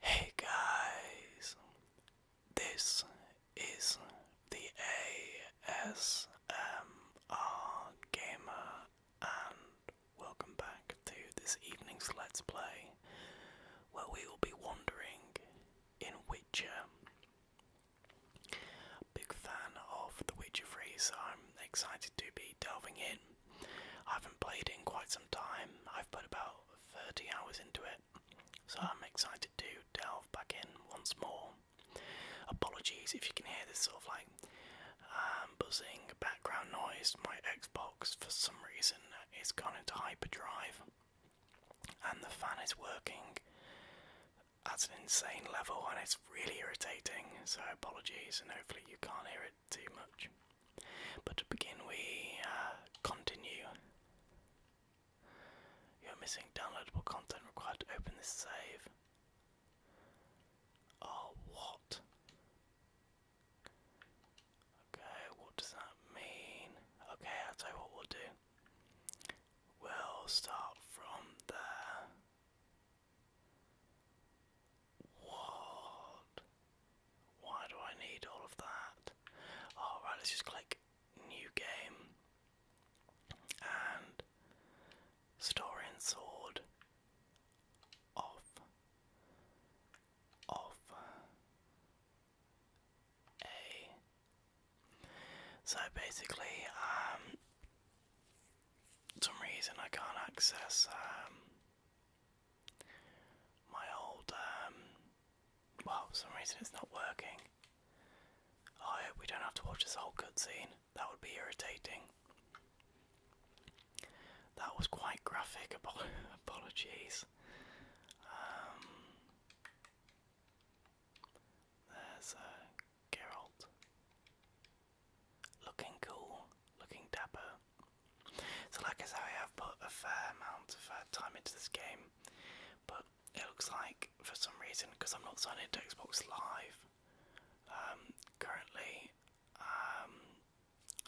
Hey guys, this is the ASMR Gamer, and welcome back to this evening's Let's Play, where we will be wandering in Witcher Big fan of The Witcher 3, so I'm excited to be delving in. I haven't played in quite some time, I've put about 30 hours into it, so I'm excited to delve back in once more. Apologies if you can hear this sort of like um, buzzing background noise, my Xbox for some reason is gone into hyperdrive and the fan is working at an insane level and it's really irritating, so apologies, and hopefully you can't hear it too much. But to begin, we uh, continue. You're missing downloadable content required to open this save. Oh, what? Okay, what does that mean? Okay, I'll tell you what we'll do. We'll start from there. What? Why do I need all of that? All let's just click new game and story and sword off, off, so basically, um, some reason I can't access um, my old. Um, well, for some reason it's not working. I hope we don't have to watch this whole cutscene. That would be irritating. That was quite graphic. Apologies. There's Geralt. Looking cool, looking dapper. So, like I say, I have put a fair amount of uh, time into this game, but it looks like for some reason, because I'm not signed into Xbox Live um, currently, um,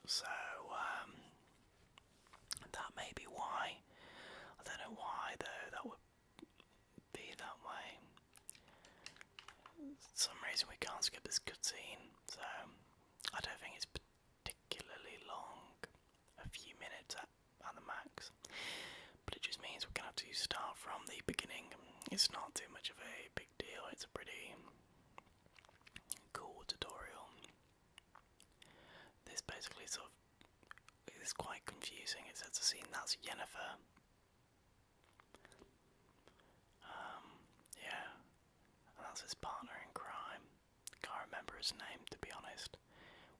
so um, that may be why. I don't know why though. That would be that way. some reason we can't skip this scene, so I don't think it's particularly long, a few minutes at, at the max. But it just means we're gonna have to start from the beginning. It's not too much of a big deal, it's a pretty cool tutorial. This basically sort of it's quite confusing. It's sets a scene that's Jennifer. Um, yeah, and that's his partner in crime. Can't remember his name to be honest,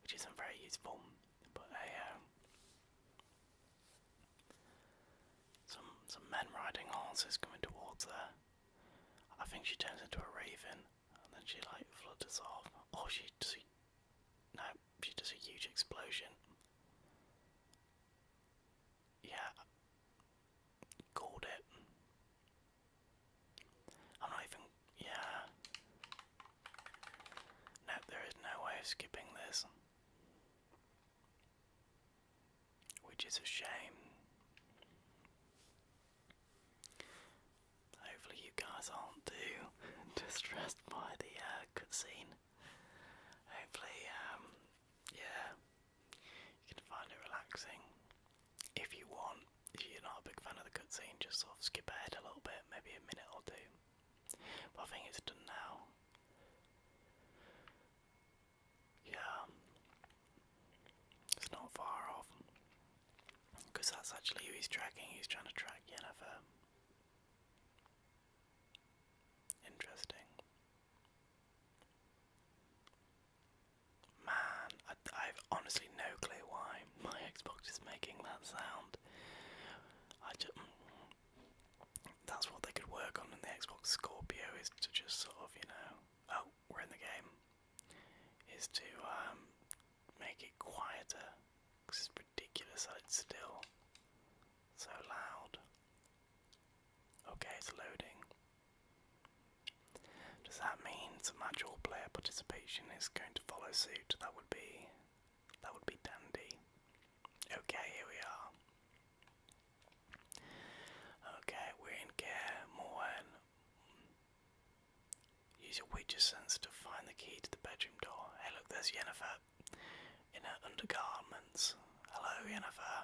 which isn't very useful. But hey, uh, some some men riding horses coming towards her. I think she turns into a raven, and then she like flutters off, or she she no, she does a huge explosion. Yeah, called it. I'm not even. Yeah. Nope, there is no way of skipping this. Which is a shame. Hopefully, you guys aren't too distressed by the uh, cutscene. Hopefully, um, yeah, you can find it relaxing. If you want, if you're not a big fan of the cutscene, just sort of skip ahead a little bit, maybe a minute or two. But I think it's done now. Yeah, it's not far off. Because that's actually who he's tracking, he's trying to track Yennefer. Interesting. Man, I, have honestly no clue why my Xbox is making that sound. I just, mm, that's what they could work on in the Xbox Scorpio is to just sort of, you know, oh, we're in the game. Is to um, make it quieter this is ridiculous that it's still so loud. Okay, it's loading. Does that mean some actual player participation is going to follow suit? That would be that would be dandy. Okay, here we are. Okay, we're in care more Use your witcher sensor to find the key to the bedroom door. Hey, look, there's Jennifer in her undergarments. Hello, Jennifer.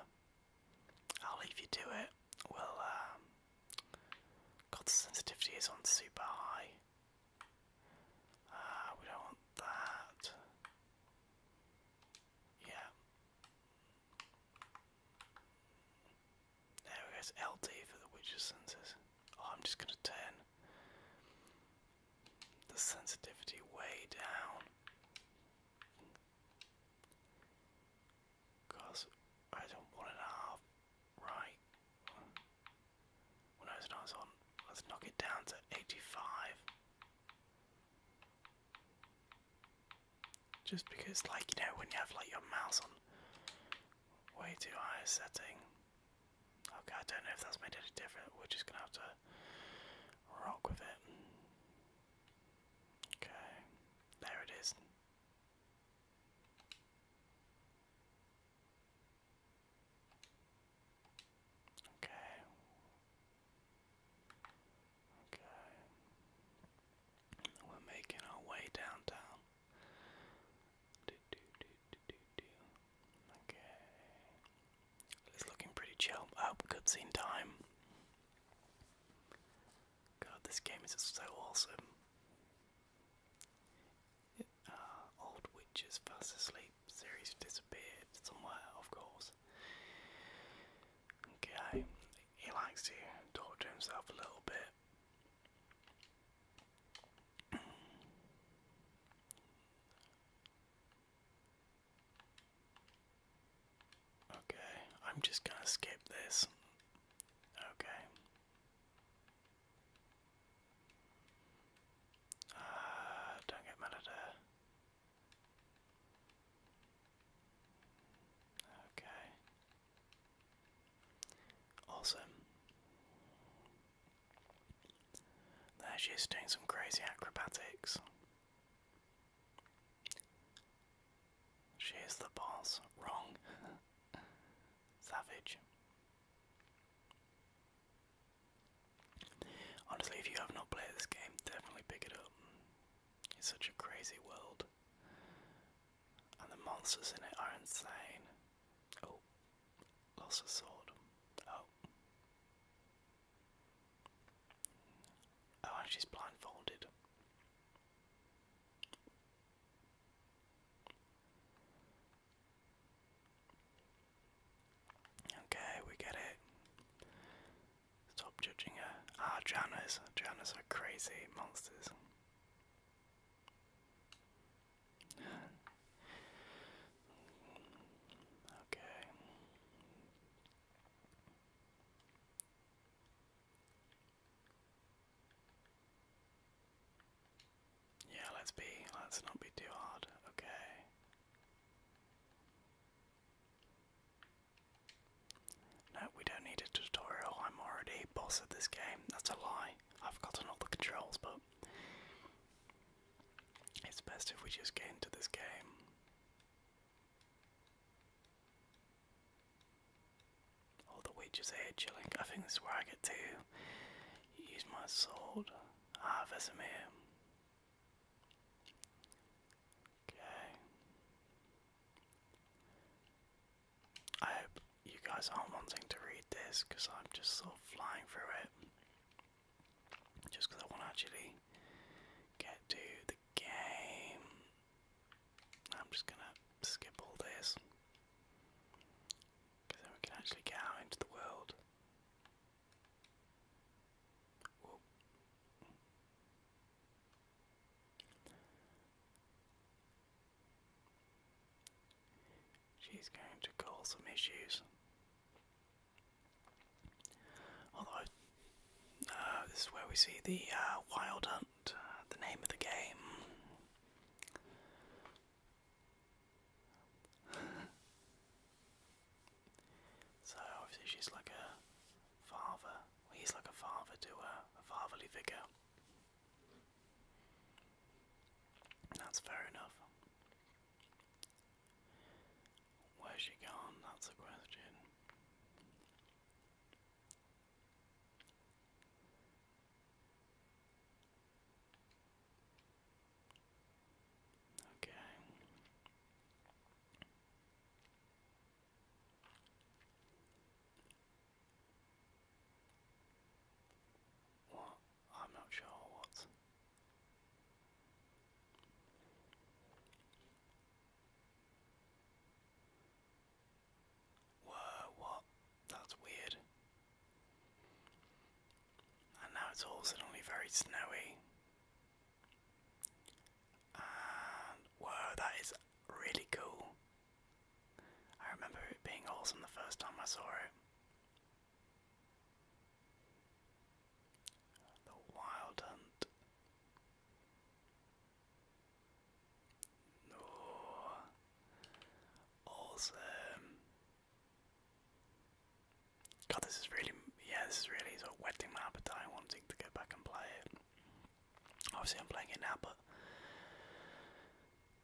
I'll leave you to it. Well, um, sensitivity is on super high. Ah, we don't want that. Yeah. There we go, it's for the witcher senses. Oh, I'm just going to turn the sensitivity way down. Cause I don't want right. Well, no, it's on. Let's knock it down to 85. Just because, like, you know, when you have like your mouse on way too high a setting, Okay, I don't know if that's made any difference. We're just gonna have to rock with it. Okay, there it is. Okay. Okay. We're making our way downtown. Do, do, do, Okay. It's looking pretty chill. Oh, cutscene time. God, this game is so awesome. Uh, old witches fast asleep. Series disappeared somewhere, of course. Okay, he likes to talk to himself a little bit. Okay, I'm just going to skip this. Okay. Uh, don't get mad at her. Okay. Awesome. There she is doing some crazy acrobatics. She is the boss. Wrong. Savage. Honestly, if you have not played this game, definitely pick it up. It's such a crazy world. And the monsters in it are insane. Oh, lost a sword. Oh. Oh, she's blindfolded. Okay, we get it. Stop judging her. Ah, Janus. Janus are crazy monsters. Okay. Yeah, let's be, let's not be too hard, okay. No, we don't need a tutorial, I'm already boss of this game, that's a lie. I've gotten all the controls, but it's best if we just get into this game. All the witches here chilling. I think this is where I get to use my sword. Ah, Vesemir. Okay. I hope you guys aren't wanting to read this because I'm just sort flying through it. Just because I want to actually get to the game. I'm just going to skip all this. Because then we can actually get out into the world she's going to cause some issues. Although, uh, this is where we see the uh, Wild Hunt, uh, the name of the game. so, obviously, she's like a father, he's like a father to a, a fatherly figure. That's fair enough. Where's she gone? That's the question. Okay. What? I'm not sure what. Whoa, what? That's weird. And now it's all suddenly very snowy. And whoa, that is really cool. I remember it being awesome the first time I saw it. The Wild Hunt. Oh, awesome. God, this is really, yeah, this is really sort of whetting my appetite, wanting to go back and play it. Obviously, I'm playing it now, but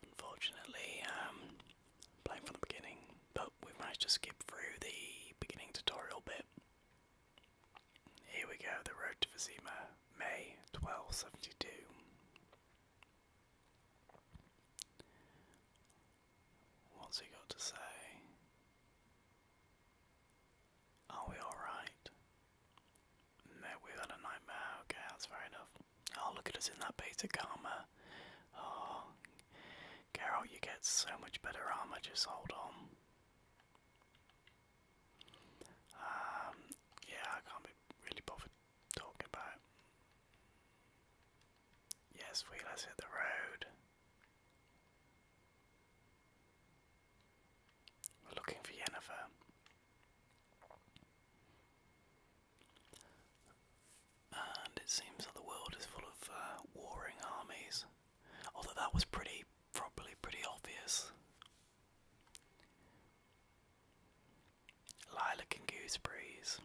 unfortunately, I'm um, playing from the beginning we managed just skip through the beginning tutorial bit. Here we go, the road to Vizima, May 1272. What's he got to say? Are we alright? No, we've had a nightmare. Okay, that's fair enough. Oh, look at us in that beta karma. Oh, Geralt, you get so much better armor, just hold on. Um, yeah, I can't be really bothered talking about. Yes, we let's hit the road. We're looking for Yennefer. And it seems that the world is full of uh, warring armies. Although that was pretty, probably pretty obvious. Lilac and Gooseberries.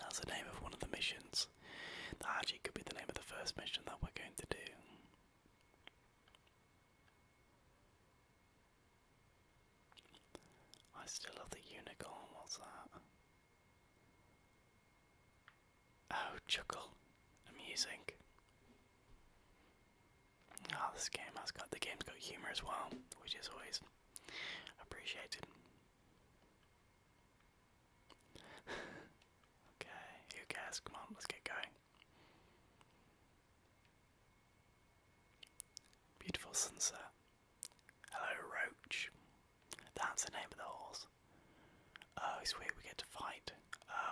That's the name of one of the missions. That Haji could be the name of the first mission that we're going to do. I still love the unicorn, what's that? Oh, chuckle. Amusing. Ah, oh, this game has got the game's got humour as well, which is always appreciated. okay, you guys, Come on, let's get going. Beautiful sunset. Hello, Roach. That's the name of the horse. Oh, sweet, we get to fight.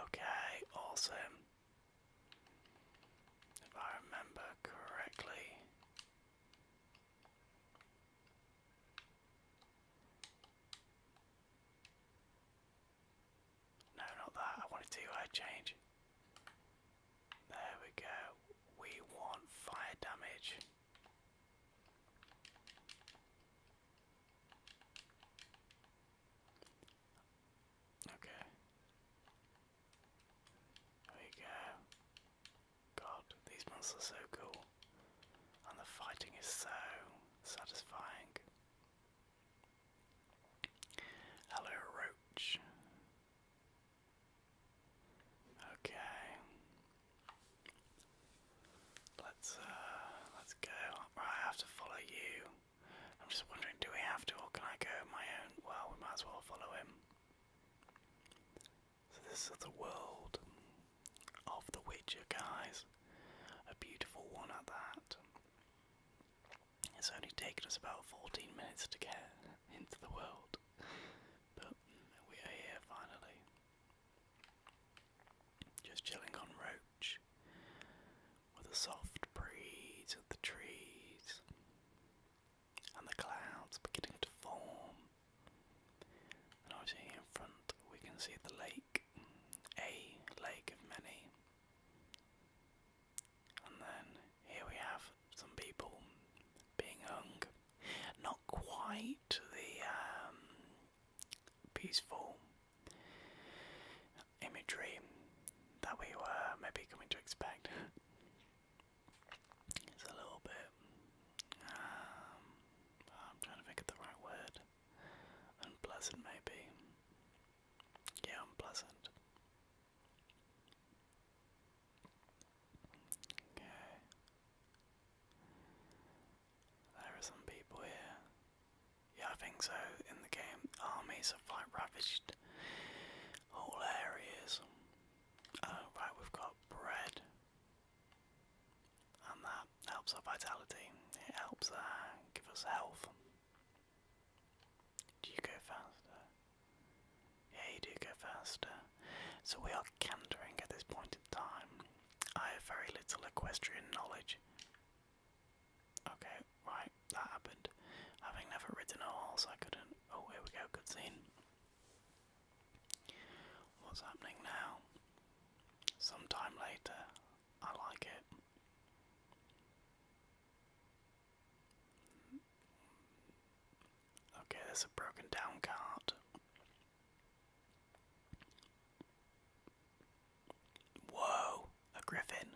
Okay, awesome. If I remember correctly. No, not that. I wanted to uh, change. There we go. We want fire damage. Okay. There you go. God, these monsters are so cool. And the fighting is so satisfying. Hello, Roach. Okay. Let's uh, let's go. I have to follow you. I'm just wondering do we have to or can I go my own? Well, we might as well follow him. So this is the world of the Witcher guys. A beautiful one at that. It's only taken us about 14 minutes to get into the world. But we are here finally. Just chilling on Roach with a soft breeze of the trees and the clouds beginning to form. And obviously, in front, we can see the lake, a lake of many. And then here we have some people being hung not quite the um, peaceful imagery that we were maybe coming to expect. It's a little bit. Um, I'm trying to think of the right word. Unpleasant, maybe. Yeah, unpleasant. Okay. There are some people here. Yeah, I think so. In the game, armies have like ravaged whole areas. Oh, right, we've got bread. And that helps our vitality. It helps uh, give us health. Do you go faster? Yeah, you go faster. So we are cantering at this point in time. I have very little equestrian knowledge. Okay, right, that happened. Having never ridden a horse, I couldn't. Oh, here we go, good scene. What's happening now? Sometime later. I like it. Okay, there's a broken down cart. Whoa, a griffin.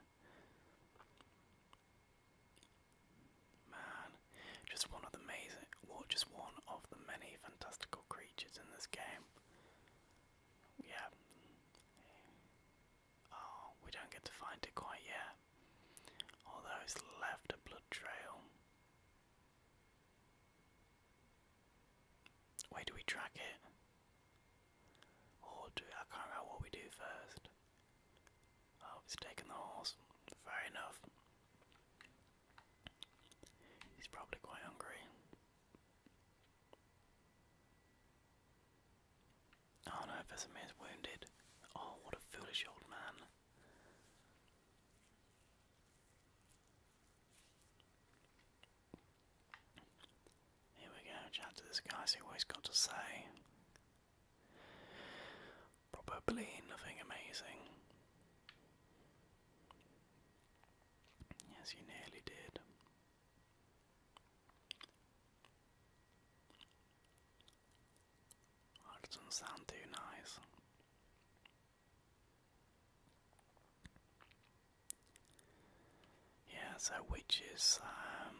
Man, just one of the amazing, well, just one of the many fantastical creatures in this game. Yeah. Oh, we don't get to find it quite yet. Although it's left a blood trail. Where do we track it? Or do I can't remember what we do first. Oh, he's taking the horse. Fair enough. He's probably quite hungry. Oh no, Vesemir is wounded. Oh, what a foolish old man. Here we go, chat to this guy, see what he's got to say. Probably nothing amazing. Yes, you nearly did. Oh, doesn't sound too nice. Yeah, so witches, um,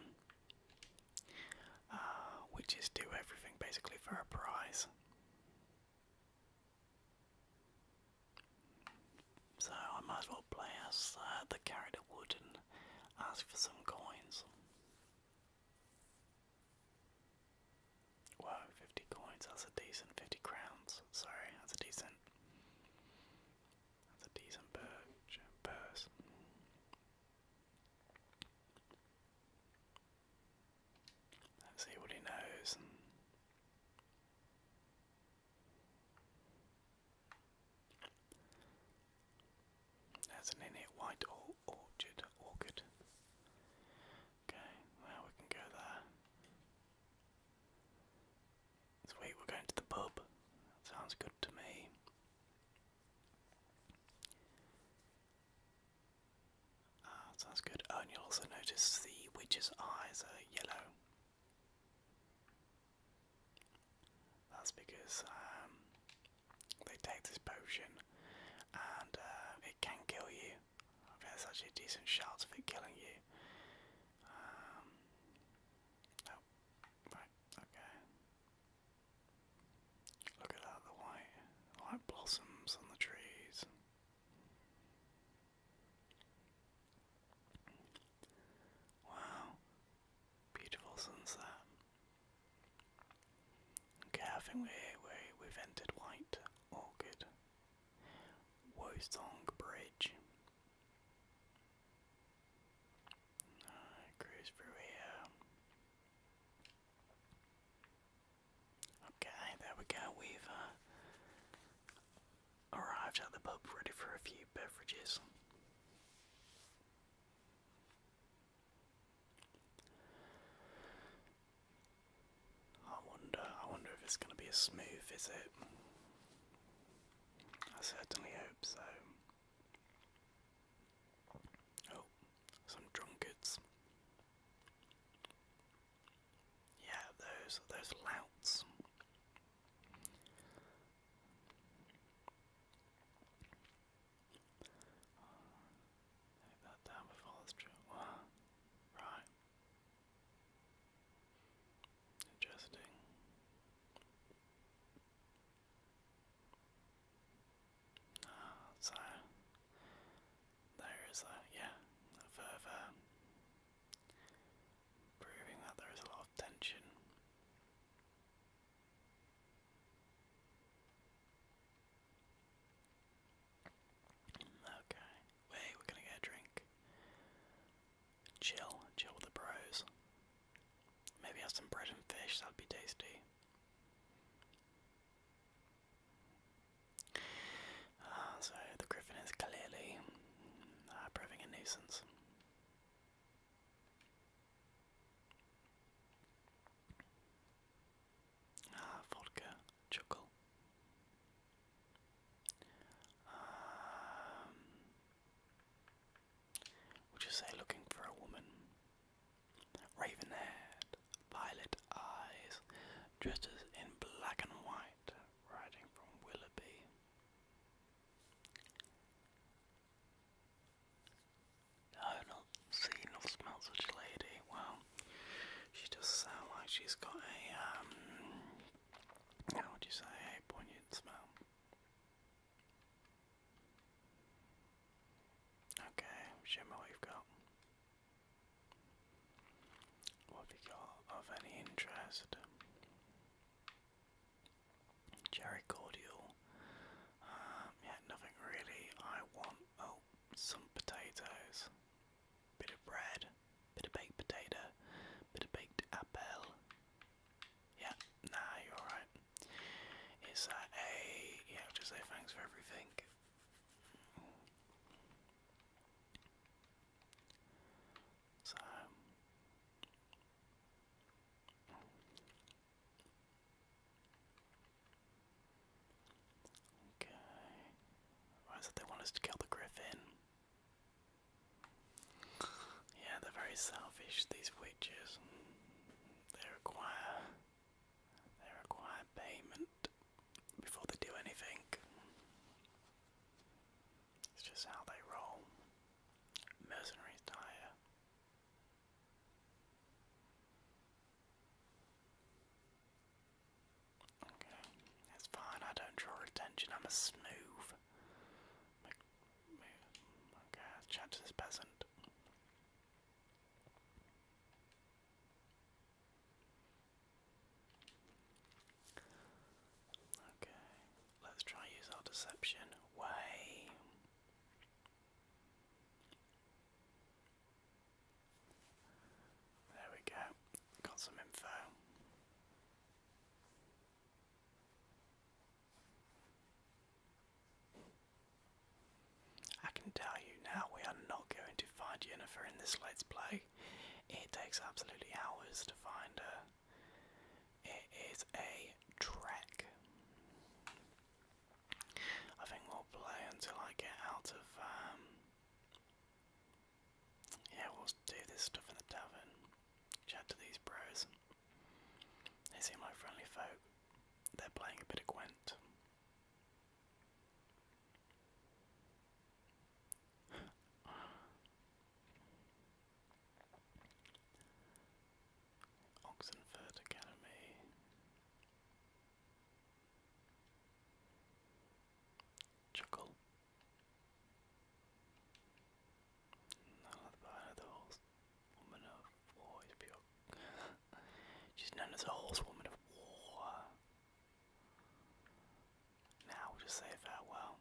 uh, witches do everything basically for a prize. So I might as well play as uh, the character would and ask for some coins. Wow, 50 coins, that's a decent 50 crowns, sorry, that's a decent that's a decent purse. Let's see what he knows. There's an in it white or orchid. Okay, now we can go there. Sweet, we're going to the pub. That sounds good to me. Ah, sounds good. Oh, and you also notice the witch's eyes are yellow. That's because um, they take this potion and uh, it can kill you. I think that's actually a decent shot of it killing you. oh, right, okay. Look at that, the white, white blossoms on the trees. Wow, beautiful sunset. Okay, I think we, we, we've entered White Orchid. Wosong Bridge. Alright, cruise through here. Okay, there we go. We've uh, arrived at the pub ready for a few beverages. I wonder, I wonder if it's going to be a smooth visit. I certainly hope so. Oh, some drunkards. Yeah, those those louts that down before true. Right. Interesting. Ah, so there is a yeah, further proving that there is a lot of tension. Okay. we're gonna get a drink. Chill, chill with the bros. Maybe have some bread and fish, that'd be tasty. Uh, so the griffin is clearly uh, proving a nuisance. Ah, vodka, chuckle. Um, we say looking for a woman. Raven haired, violet eyes, dresses in black and white, riding from Willoughby. No, not seen or smelled such a lady. Well, she does sound like she's got a, um, how would you say, a poignant smell. Okay, show me what have got. What have got of any interest? Cherry cordial. Um, yeah, nothing really. I want, oh, some potatoes bit of bread, bit of baked potato, bit of baked apple. Yeah, nah, you're alright. Is that a. Yeah, just say thanks for everything. So. Okay. Right, so they want us to kill the griffin. Yeah, they're very selfish, these witches. They require they require payment before they do anything. It's just how they roll. Mercenaries tire. Okay, that's fine. I don't draw attention. I'm a smooth. Okay, let peasant. Okay, let's try use our deception. Way. There we go, got some info. I can tell you now we are not going to find Jennifer in this let Play. It takes absolutely hours to find her. It is a trek. I think we'll play until I get out of um, yeah, we'll do this stuff in the tavern. Chat to these bros. They seem like friendly folk. They're playing a bit of Gwent. Oxenford Academy. Chuckle. None of the behind of war She's known as a horsewoman of war. Now we'll just say farewell.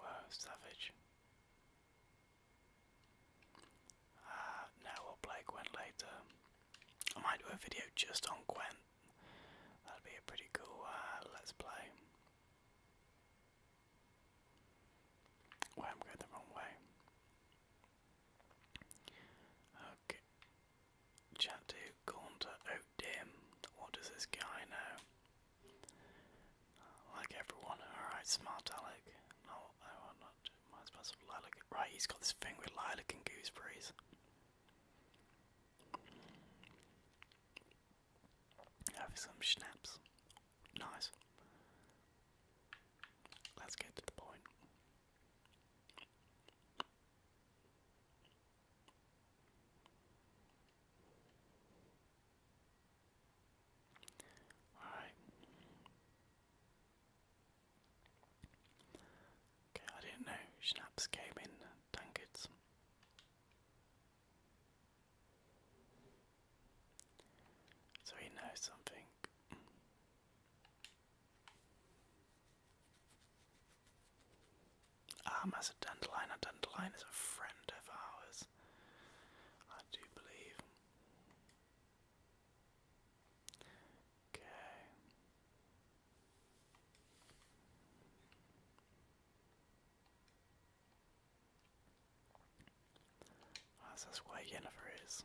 Wow, savage. Uh, we'll play Gwent later. I might do a video just on Gwent. That'd be a pretty cool uh, let's play. Well, am going the wrong way. Okay. Chat to Gaunter. Oh, dim. What does this guy know? Like everyone. Alright, smart Alec. No, I will not. Might as lilac. Right, he's got this thing with lilac and gooseberries. Have some schnapps. Nice. Let's get to the point. Alright. Okay, I didn't know schnapps came in tankards. So he knows something. Ah, Master Dandelion, a dandelion is a friend of ours. I do believe. Okay. that's, just where Jennifer is.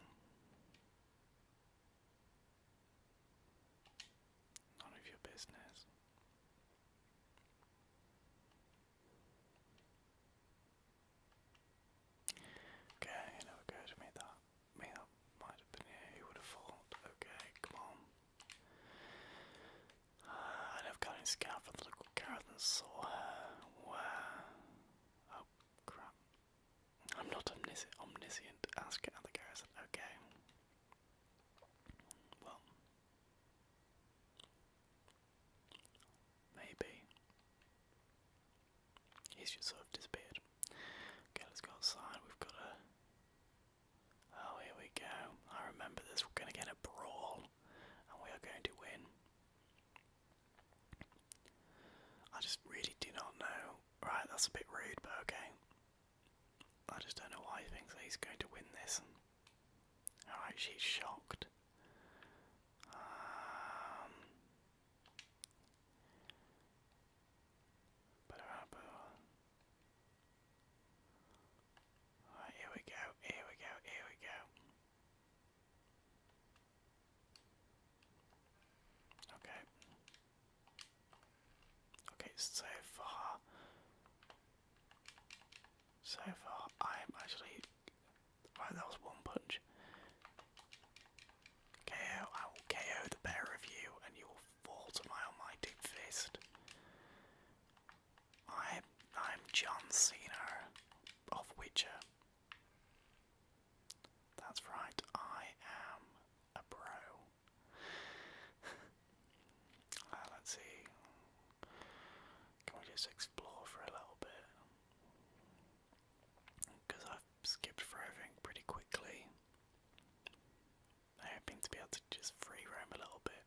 None of your business. Okay, you know it goes, that, made that might have been here, would have thought, okay, come on. Uh, I never got any scout from the local garret and saw her, where, oh crap. I'm not omniscient, ask it at okay. Well, Maybe. He's just sort of disappeared. Okay, let's go outside. We've got a. Oh, here we go. I remember this. We're going to get a brawl, and we are going to win. I just really do not know. Right, that's a bit rude, but okay. I just don't know why he thinks he's going to win this. Alright, she's shocked. Um, Alright, here we go, here we go, here we go. Okay. Okay, so far, so far I'm actually Oh, that was one punch. KO, I will KO the pair of you and you will fall to my almighty fist. I, I'm John Cena of Witcher. That's right, I am a pro. Ah, let's see. Can we do six explore for a little bit because I've skipped through everything pretty quickly. I'm hoping to be able to just free roam a little bit.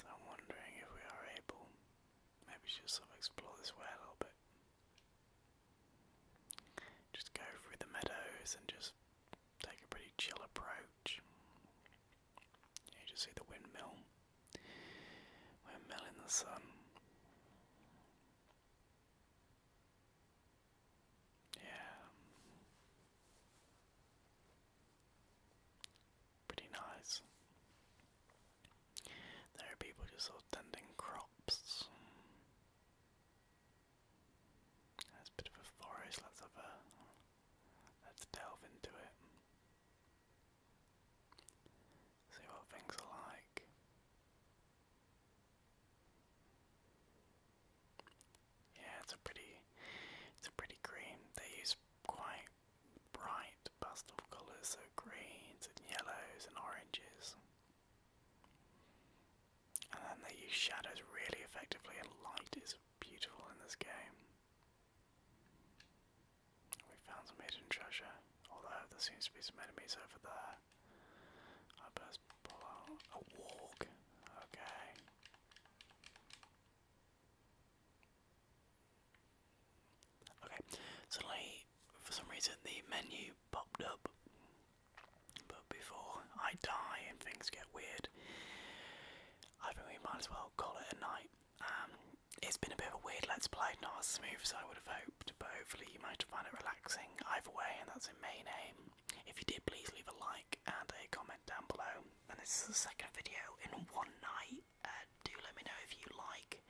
So I'm wondering if we are able, maybe just sort of explore this way a little bit. Just go through the meadows and just take a pretty chill approach. You just see the windmill. We're milling the sun. Yeah. Pretty nice. There are people just sort of tending crops. That's a bit of a forest, let's have a let's delve into it. See what things are like. Yeah, it's a pretty it's a pretty green. They use quite bright pastel colours, so greens and yellows and oranges. And then they use shadows really effectively and light is beautiful in this game. We found some hidden treasure, although there seems to be some enemies over there. I best pull out a walk. Okay. Okay, suddenly, for some reason, the menu popped up. But before I die and things get weird, I think we might as well call it a night. Um, it's been a bit of a weird let's play, not as smooth as I would have hoped, but hopefully you might find it relaxing either way, and that's in main aim. If you did, please leave a like and a comment down below. And this is the second video in one night. Uh, do let me know if you like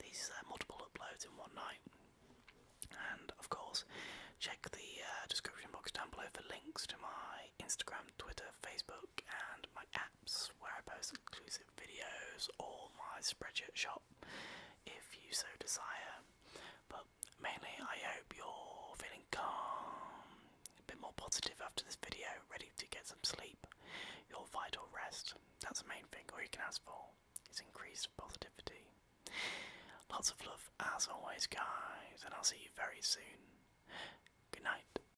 these uh, multiple uploads in one night. And of course, check the uh, description box down below for links to my Instagram, Twitter, Facebook, and my apps where I post inclusive videos all my spreadsheet shop if you so desire. But mainly, I hope you're feeling calm, a bit more positive after this video, ready to get some sleep, your vital rest. That's the main thing, all you can ask for is increased positivity. Lots of love as always, guys, and I'll see you very soon. Good night